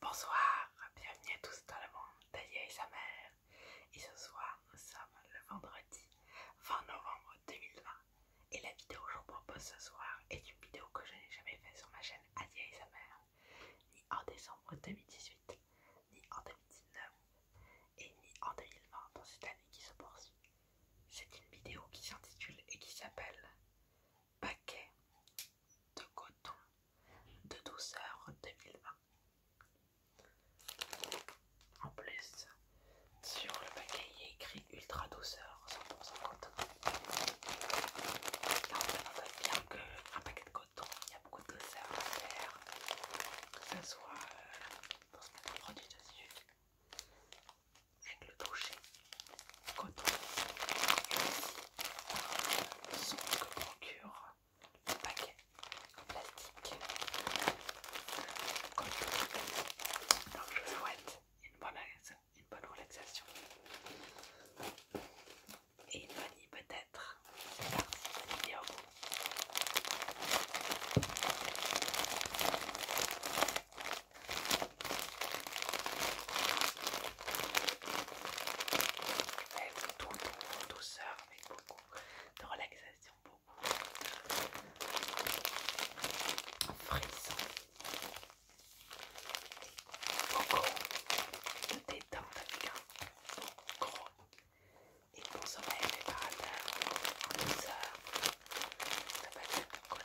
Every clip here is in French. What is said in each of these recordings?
Bonsoir, bienvenue à tous dans le monde d'Aïe et sa mère. Et ce soir, nous sommes le vendredi 20 novembre 2020. Et la vidéo que je vous propose ce soir est une vidéo que je n'ai jamais faite sur ma chaîne Adia et sa mère, ni en décembre 2018, ni en 2019, et ni en 2020 dans cette année qui se poursuit. C'est une vidéo qui s'intitule et qui s'appelle Paquet de coton de douceur 2020. En plus, sur le paquet, il est écrit ultra douceur 100% coton. Là, on note dire qu'un paquet de coton, il y a beaucoup de douceur à faire, que euh, ce soit dans pour se mettre un produit dessus, avec le toucher, coton, le son que procure le paquet en plastique. Donc je vous souhaite une bonne, relaxation. Et une bonne nuit peut-être. C'est parti, eh, mais tout le douceur, avec beaucoup de relaxation, beaucoup de frissons, beaucoup de détente avec un gros et bon sommeil réparateur en douceur. Ça va être cool.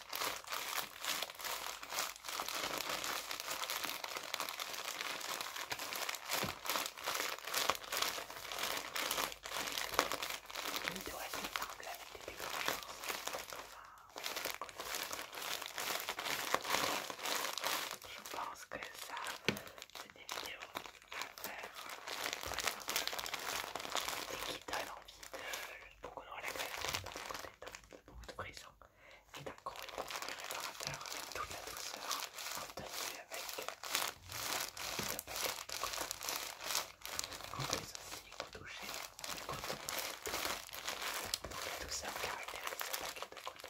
Je pense que ça, c'est des vidéos à faire euh, envie de donc on aura la glace, côté de beaucoup de prison et d'un gros le réparateur avec toute la douceur obtenue avec le paquet de coton. En plus aussi au toucher, le coton pour la douceur caractérise le paquet de coton.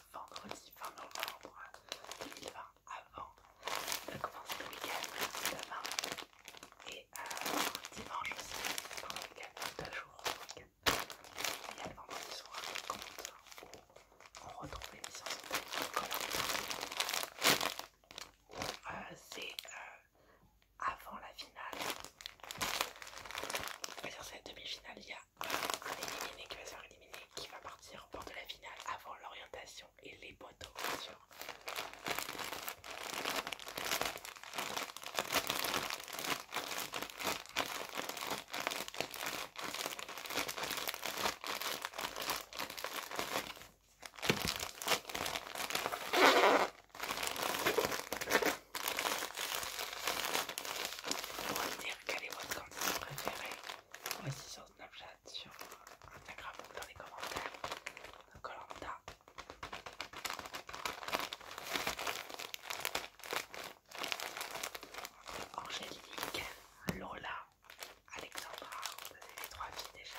vendredi 20 novembre 2020 avant de commencer le week-end demain et euh, dimanche aussi pour le week-end, deux jours Il y a le vendredi soir compte où on retrouve l'émission sur téléphone. Euh, c'est euh, avant la finale on c'est la demi-finale, il y a un éliminé qui va se faire qui va partir au bord de la finale avant l'orientation et les poteaux, pour va dire quel est votre candidat préféré. voici sur Snapchat, sur Instagram ou dans les commentaires de Colanta. Angélique, Lola, Alexandra, vous avez les trois filles déjà.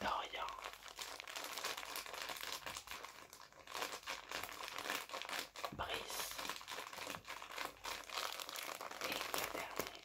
Dorian. Brice. Et le dernier.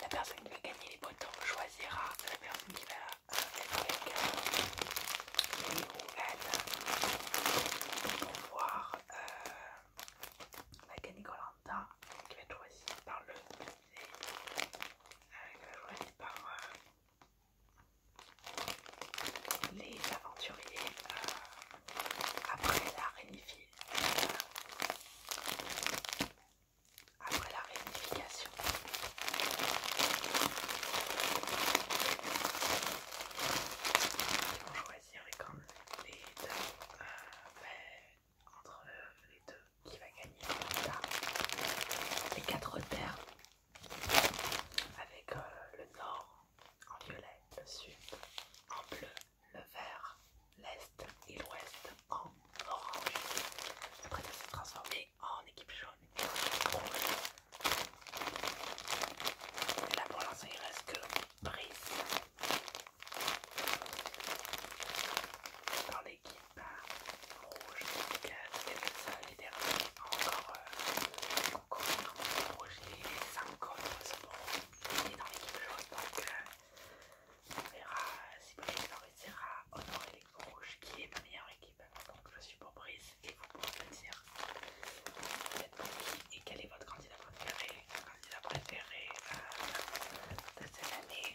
La personne qui va gagner les boutons choisira la personne qui va être avec lui ou elle pour voir la canicolanta qui va être choisie par le musée, qui va être choisie par les aventuriers euh, après la Renifil après la réunification. Ils vont choisir les deux, euh, ben, entre euh, les deux, qui va gagner les quatre terres avec euh, le nord en violet, le sud en bleu, le vert l'Est et l'Ouest en orange. Après, ça se transformé en équipe jaune et en rouge. Et là, pour l'instant, il reste que Brice dans l'équipe rouge. C'est le seul et ça encore euh, encore en rouge. Les 5 autres sont dans l'équipe jaune, donc euh, on verra si Brice réussira à honorer l'équipe rouge qui est ma meilleure équipe. Donc je suis pour et vous pouvez me dire vous êtes pour qui et quel est votre candidat préféré, candidat préféré de cette année.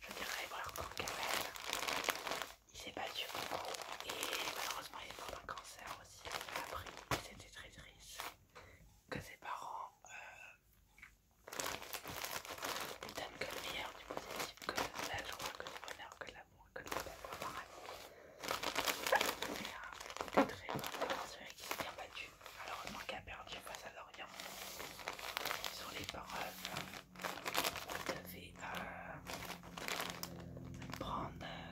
Je dirais encore Kamel. Il s'est battu beaucoup et malheureusement il est mort d'un cancer aussi. Après, c'était très triste que ses parents. Euh, il donne que le meilleur du positif, que la joie, que le bonheur, que l'amour, que le bonheur, pareil. un ah, très bon d'avoir qui s'est bien battu, malheureusement qui a perdu face à l'Orient. Sur les paroles, vous devez euh, prendre. Euh,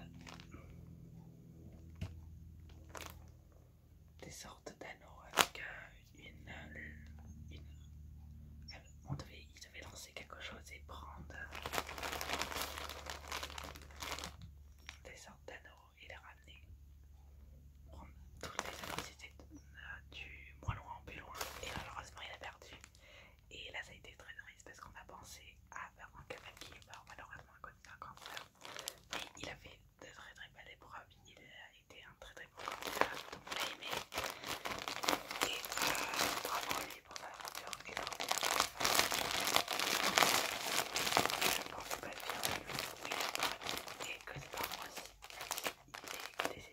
des sortes d'anneaux avec euh, une, euh, il devait lancer quelque chose et prendre euh, des sortes d'anneaux et les ramener. Prendre toutes les anneaux, c'était du moins loin au plus loin. Et malheureusement, il a perdu. Et là, ça a été très triste parce qu'on a pensé à faire un canal qui est mort, malheureusement, à cause d'un cancer. Mais il a fait de très très belles épreuves il a été un très très bon candidat, donc on aimé. Et euh, lui pour sa pense et que c'est par moi aussi. est malheureusement. Très très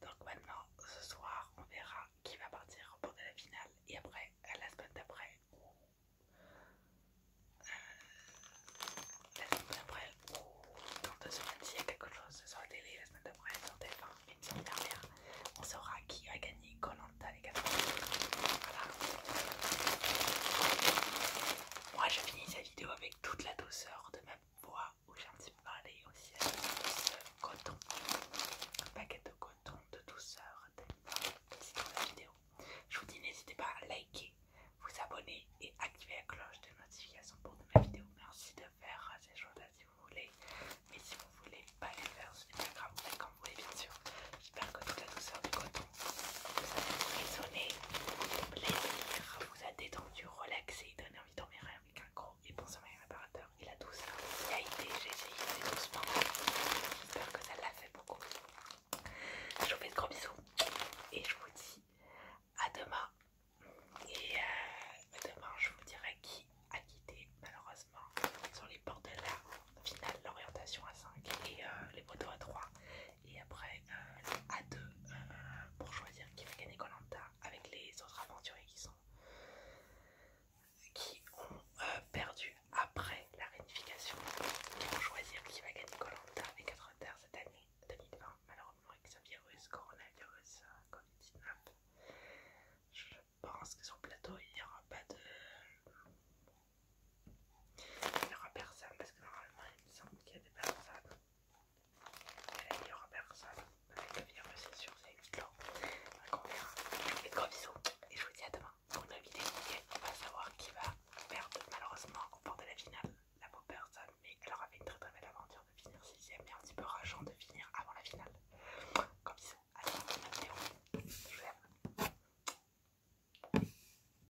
donc maintenant, ce soir, on verra qui va partir pour de la finale. Et après, la semaine d'après, ou euh, la semaine d'après, dans deux semaines, s'il y a quelque chose sur la télé, la semaine d'après, sur TF1, une semaine dernière, on saura qui a gagné Colanta les gars. Voilà. Moi, je finis vidéo avec toute la douceur de ma voix où j'ai un petit peu parlé aussi avec ce coton, un paquet de coton de douceur dans la vidéo. Je vous dis n'hésitez pas à liker, vous abonner et activer la cloche de notification pour de ma vidéo. Merci de faire ces choses-là si vous voulez, mais si vous voulez pas les faire, sur Instagram grave, faites vous voulez bien sûr. J'espère que toute la douceur du coton vous résonner plaisir, vous a détendu, relaxé, donné envie de avec un gros et bon sommeil réparateur. Il a tout ça. Il a été, j'ai essayé, c'est doucement. J'espère que ça l'a fait beaucoup. Je vous fais de gros bisous et je vous dis à demain. Et euh, demain, je vous dirai qui a quitté, malheureusement, sur les portes de la finale, l'orientation à 5 et euh, les motos à 3. Et après, euh, à deux a euh, pour choisir qui va gagner Colanta avec les autres aventuriers qui sont qui ont euh, perdu après la réunification pour choisir qui va gagner Colanta et 4 terres cette année 2020 malheureusement avec ce virus coronavirus comme covid je pense que sur le plateau il n'y aura pas de il n'y aura personne parce que normalement il me semble qu'il y a des personnes. il n'y aura personne. Avec le virus c'est sûr, c'est une long. Et on verra. Je vous fais de gros bisous et je vous dis à demain pour une nouvelle vidéo. on va savoir qui va perdre malheureusement au bord de la finale. La pauvre personne, mais elle aura fait une très très belle aventure de finir 6ème et un petit peu rageant de finir avant la finale. Comme ça, à la fin vidéo. Je vous aime.